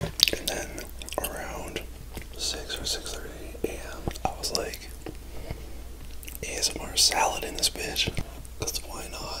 And then around 6 or 6.30 a.m., I was like, more salad in this bitch. Because why not?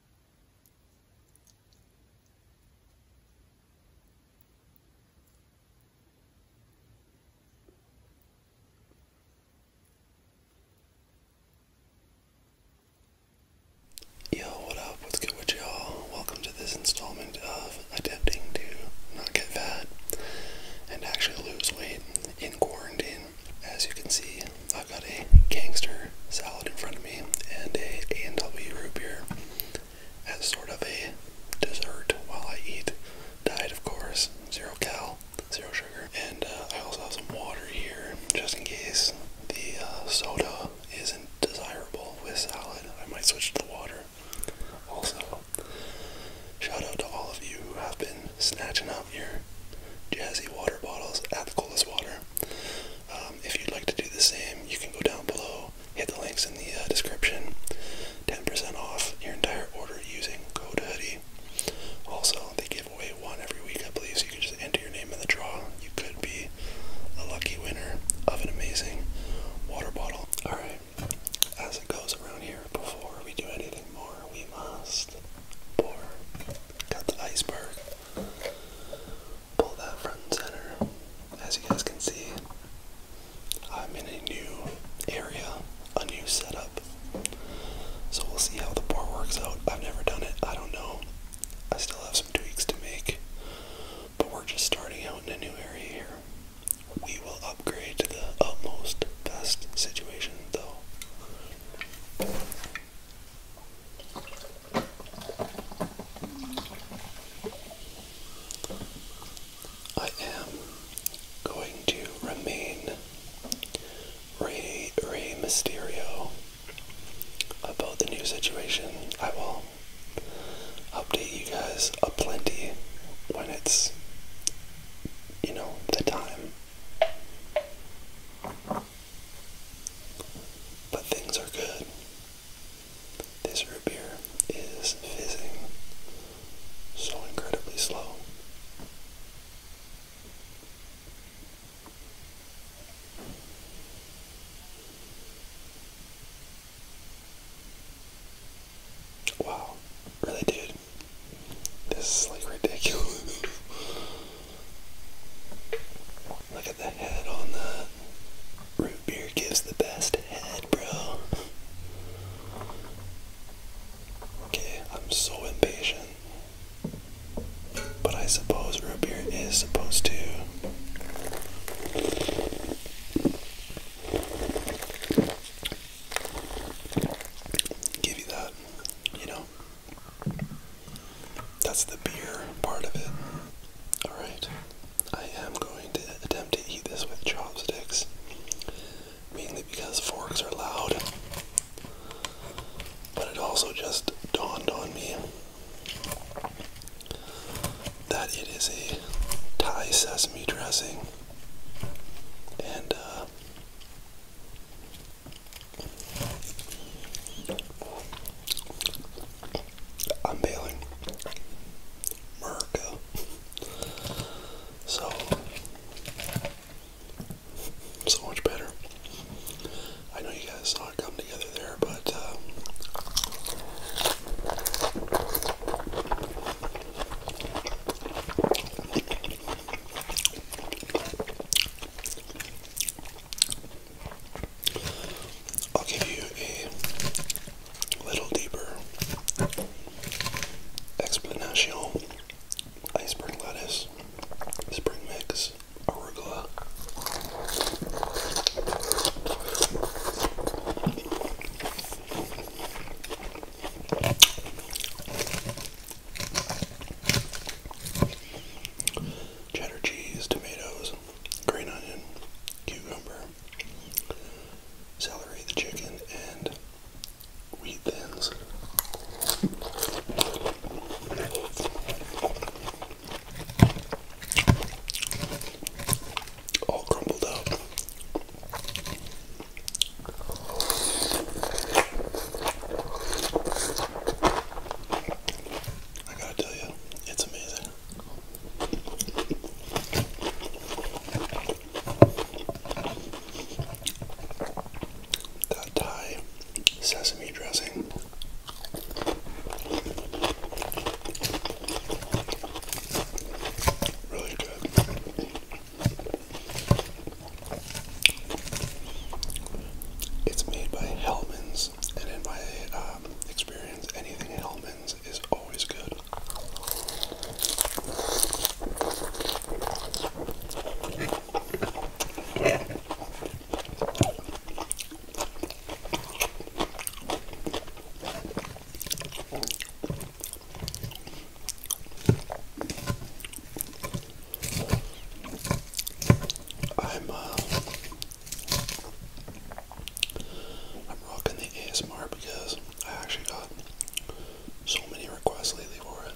Yo, what up? What's good with y'all? Welcome to this installment of adapting to not get fat and actually lose weight in quarantine. As you can see, I've got a gangster salad in front of me and a a root beer as sort of a dessert while I eat. Diet, of course, zero cal, zero sugar, and uh, I also have some water here just in case the uh, soda isn't desirable with salad. I might switch to the water. Also, shout out to all of you who have been snatching up your jazzy water bottles at the coolest water. Um, if you'd like to do the same, you can go down below, hit the links in the uh, description. 10% off your entire order using code hoodie. Also, they give away one every week, I believe, so you can just enter your name in the draw. You could be a lucky winner of an amazing water bottle. Alright, as it goes around here, before we do anything more, we must pour got the iceberg. Pull that front and center. As you guys can see, I'm in a new area, a new setup. So we'll see how the bar works out. I've never done it, I don't know. I still have some tweaks to make, but we're just starting out in a new area here. We will upgrade to the utmost best situation, though. I am going to remain Ray Ray Mysterio about the new situation. I will update you guys a plenty when it's you know the time. But things are good. This root beer is fizzing so incredibly slow. Wow, really, dude? This is like ridiculous. Look at the head on the Root beer gives the best head, bro. Okay, I'm so impatient. But I suppose root beer is supposed to. Give you that, you know. That's the beer part of it. Alright, I am going to attempt to eat this with chopsticks, mainly because forks are loud. But it also just dawned on me that it is a Thai sesame dressing. And uh, I'm bailing. America. So, so much better. I know you guys saw it come together there, but uh, I'll give you a little deeper explanation. Iceberg lettuce, spring mix, arugula. Cheddar cheese, tomatoes, green onion, cucumber, celery, the chicken, and wheat thins. All crumbled up. I gotta tell you, it's amazing. That Thai sesame dressing. Really good. It's made by Hellman's, and in my um, experience, anything Hellman's is always good. I'm uh, I'm rocking the ASMR because I actually got so many requests lately for it.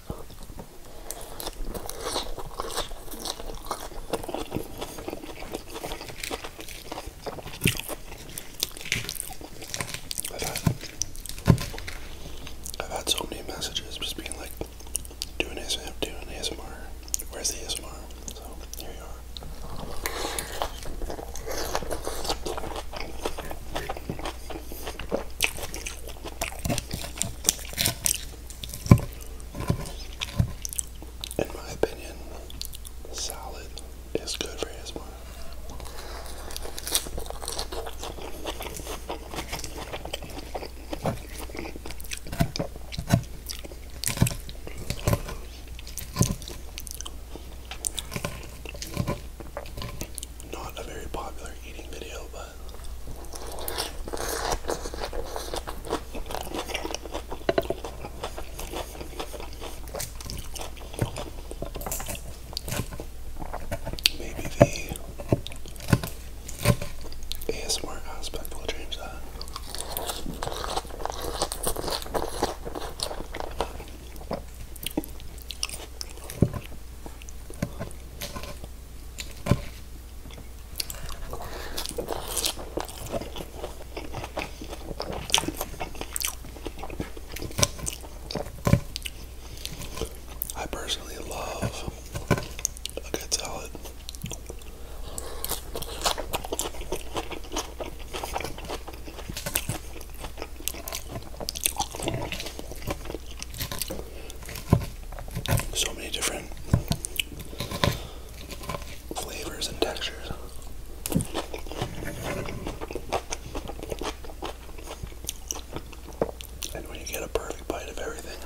I've had so many messages just being like, doing ASMR, doing ASMR. Where's the ASMR? So here you are. In my opinion, salad is good for ASMR. Not a very popular eating video, but maybe the ASMR aspect will change that. I personally love a good salad. So many different flavors and textures. And when you get a perfect bite of everything,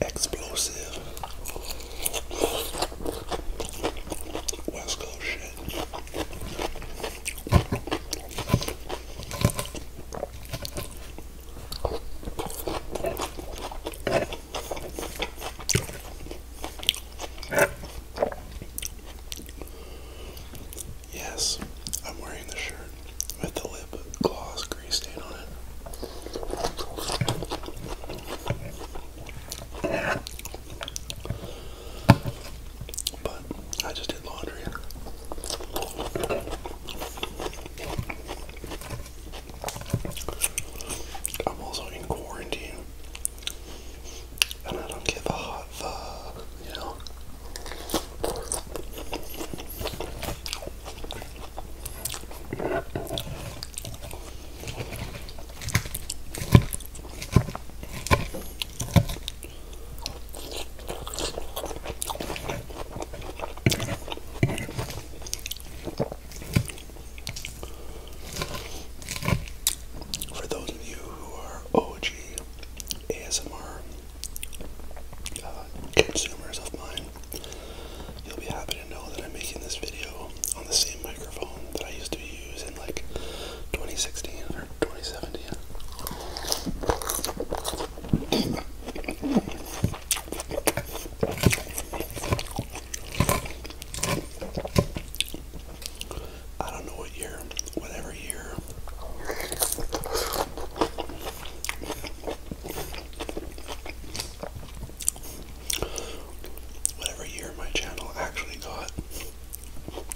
explosive West Coast shit. Yes, I'm wearing the shirt with the lip gloss grease stain on it. But I just did laundry. I'm also in quarantine. And I don't give a hot fuck, you know? For those of you who are OG ASMR uh, consumers of mine, you'll be happy to know that I'm making this video on the same microphone that I used to use in like 2016 or 2017. I don't know what year, whatever year. Whatever year my channel actually got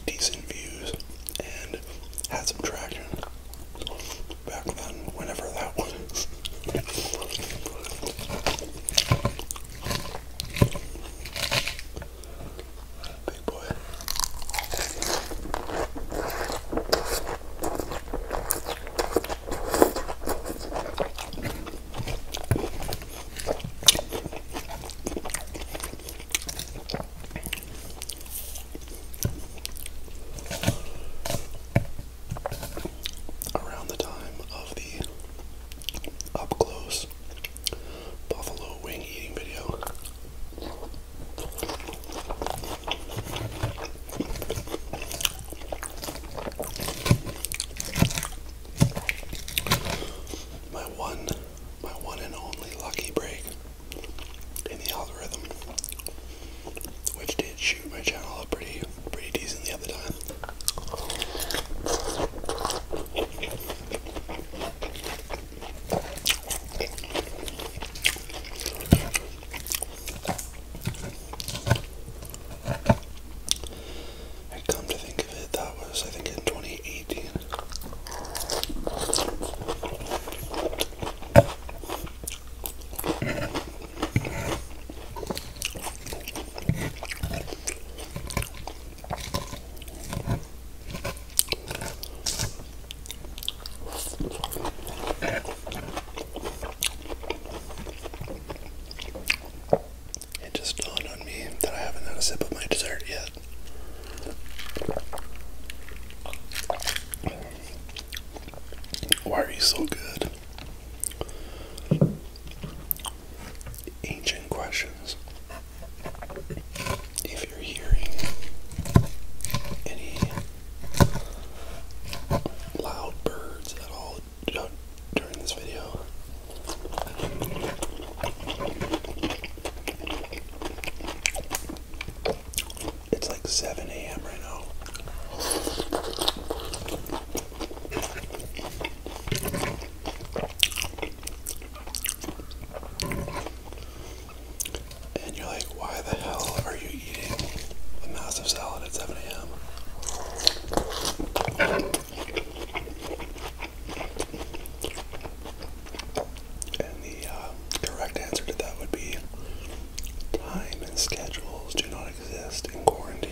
decent views and had some traction back then, whenever that was. Big boy around the time of the up close buffalo wing eating video. My one my one and only lucky break in the algorithm which did shoot my channel up pretty pretty decent the other time. I come to think of it, that was I think in 2018. It just dawned on me that I haven't had a sip of my dessert yet. Why are you so good? ancient questions. If you're hearing any loud birds at all during this video, it's like 7 a.m. right now. And you're like, why the hell are you eating a massive salad at 7 a.m.? And the uh, answer to that would be time and schedules do not exist in quarantine.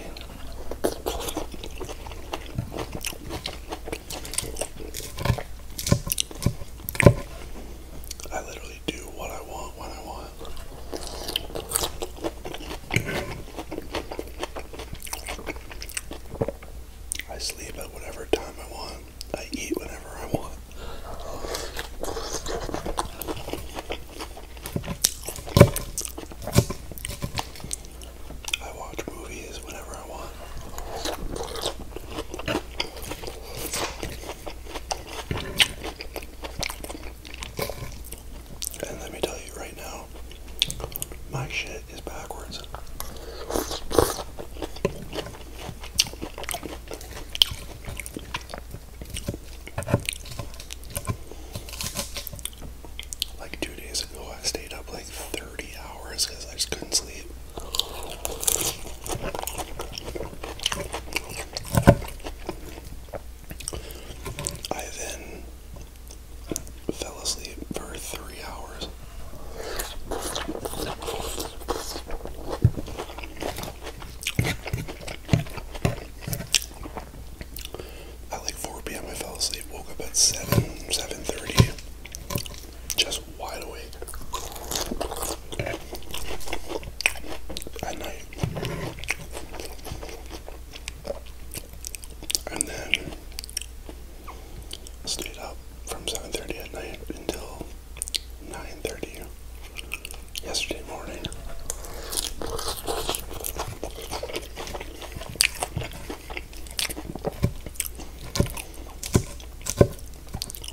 I literally do what I want when I want. I sleep at whatever time I want. I eat whenever I want. I watch movies whenever I want. And let me tell you right now, my shit is backwards. Like two days ago, I stayed up like 30 hours because I just couldn't sleep. I then fell asleep for three hours. At like 4 p.m. I fell asleep, woke up at 7, 7.30, just wide awake. At night. And then stayed up from 7.30 at night until 9.30 yesterday morning.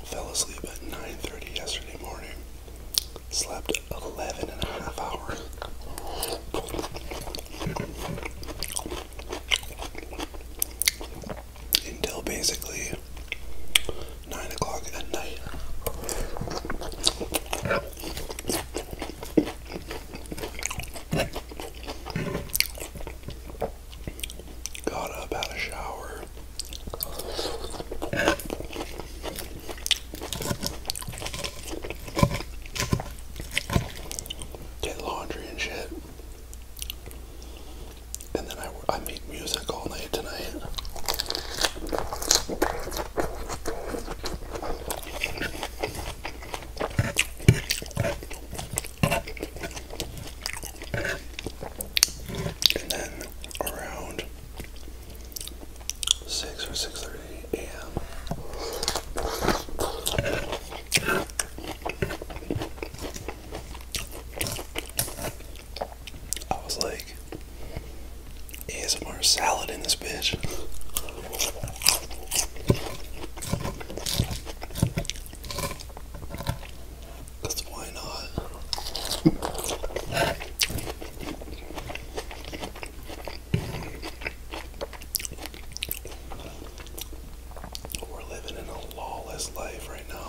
Fell asleep at 9.30 yesterday morning. Slept 11 and a half hours. Until basically 9 o'clock at night. Got up, had a shower. Did laundry and shit. And then I, I make music all night tonight. And then around six or six thirty a.m. I was like, more salad in this bitch. Cause why not? We're living in a lawless life right now.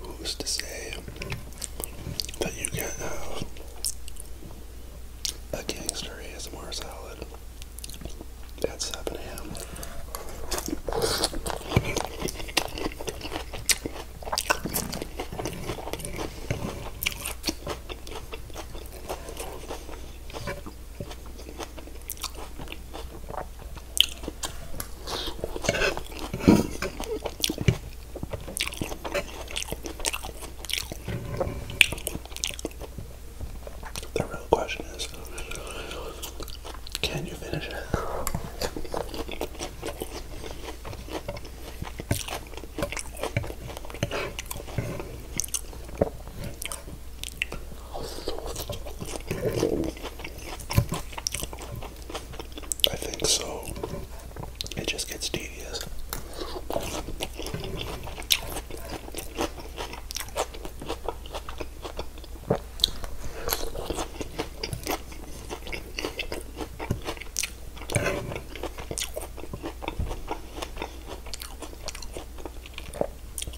Who's to say that you can't have a gangster ASMR salad? at 7 a.m. The real question is can you finish it? I think so. It just gets tedious.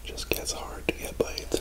Just gets hard to get bites.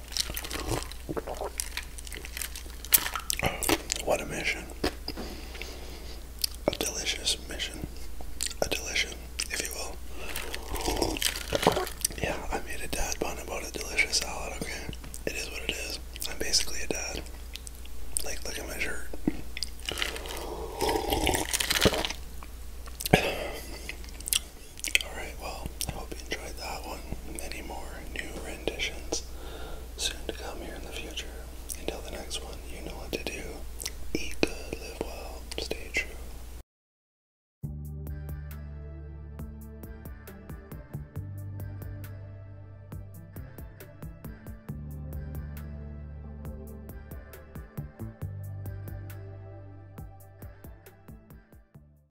What a mission. A delicious mission. A delicious, if you will. Yeah, I made a dad bun about a delicious salad, okay? It is what it is. I'm basically a dad. Like, look at my shirt. Alright, well, I hope you enjoyed that one. Many more new renditions soon to come here in the future. Until the next one, you know what to do. Eat good, live well, stay true.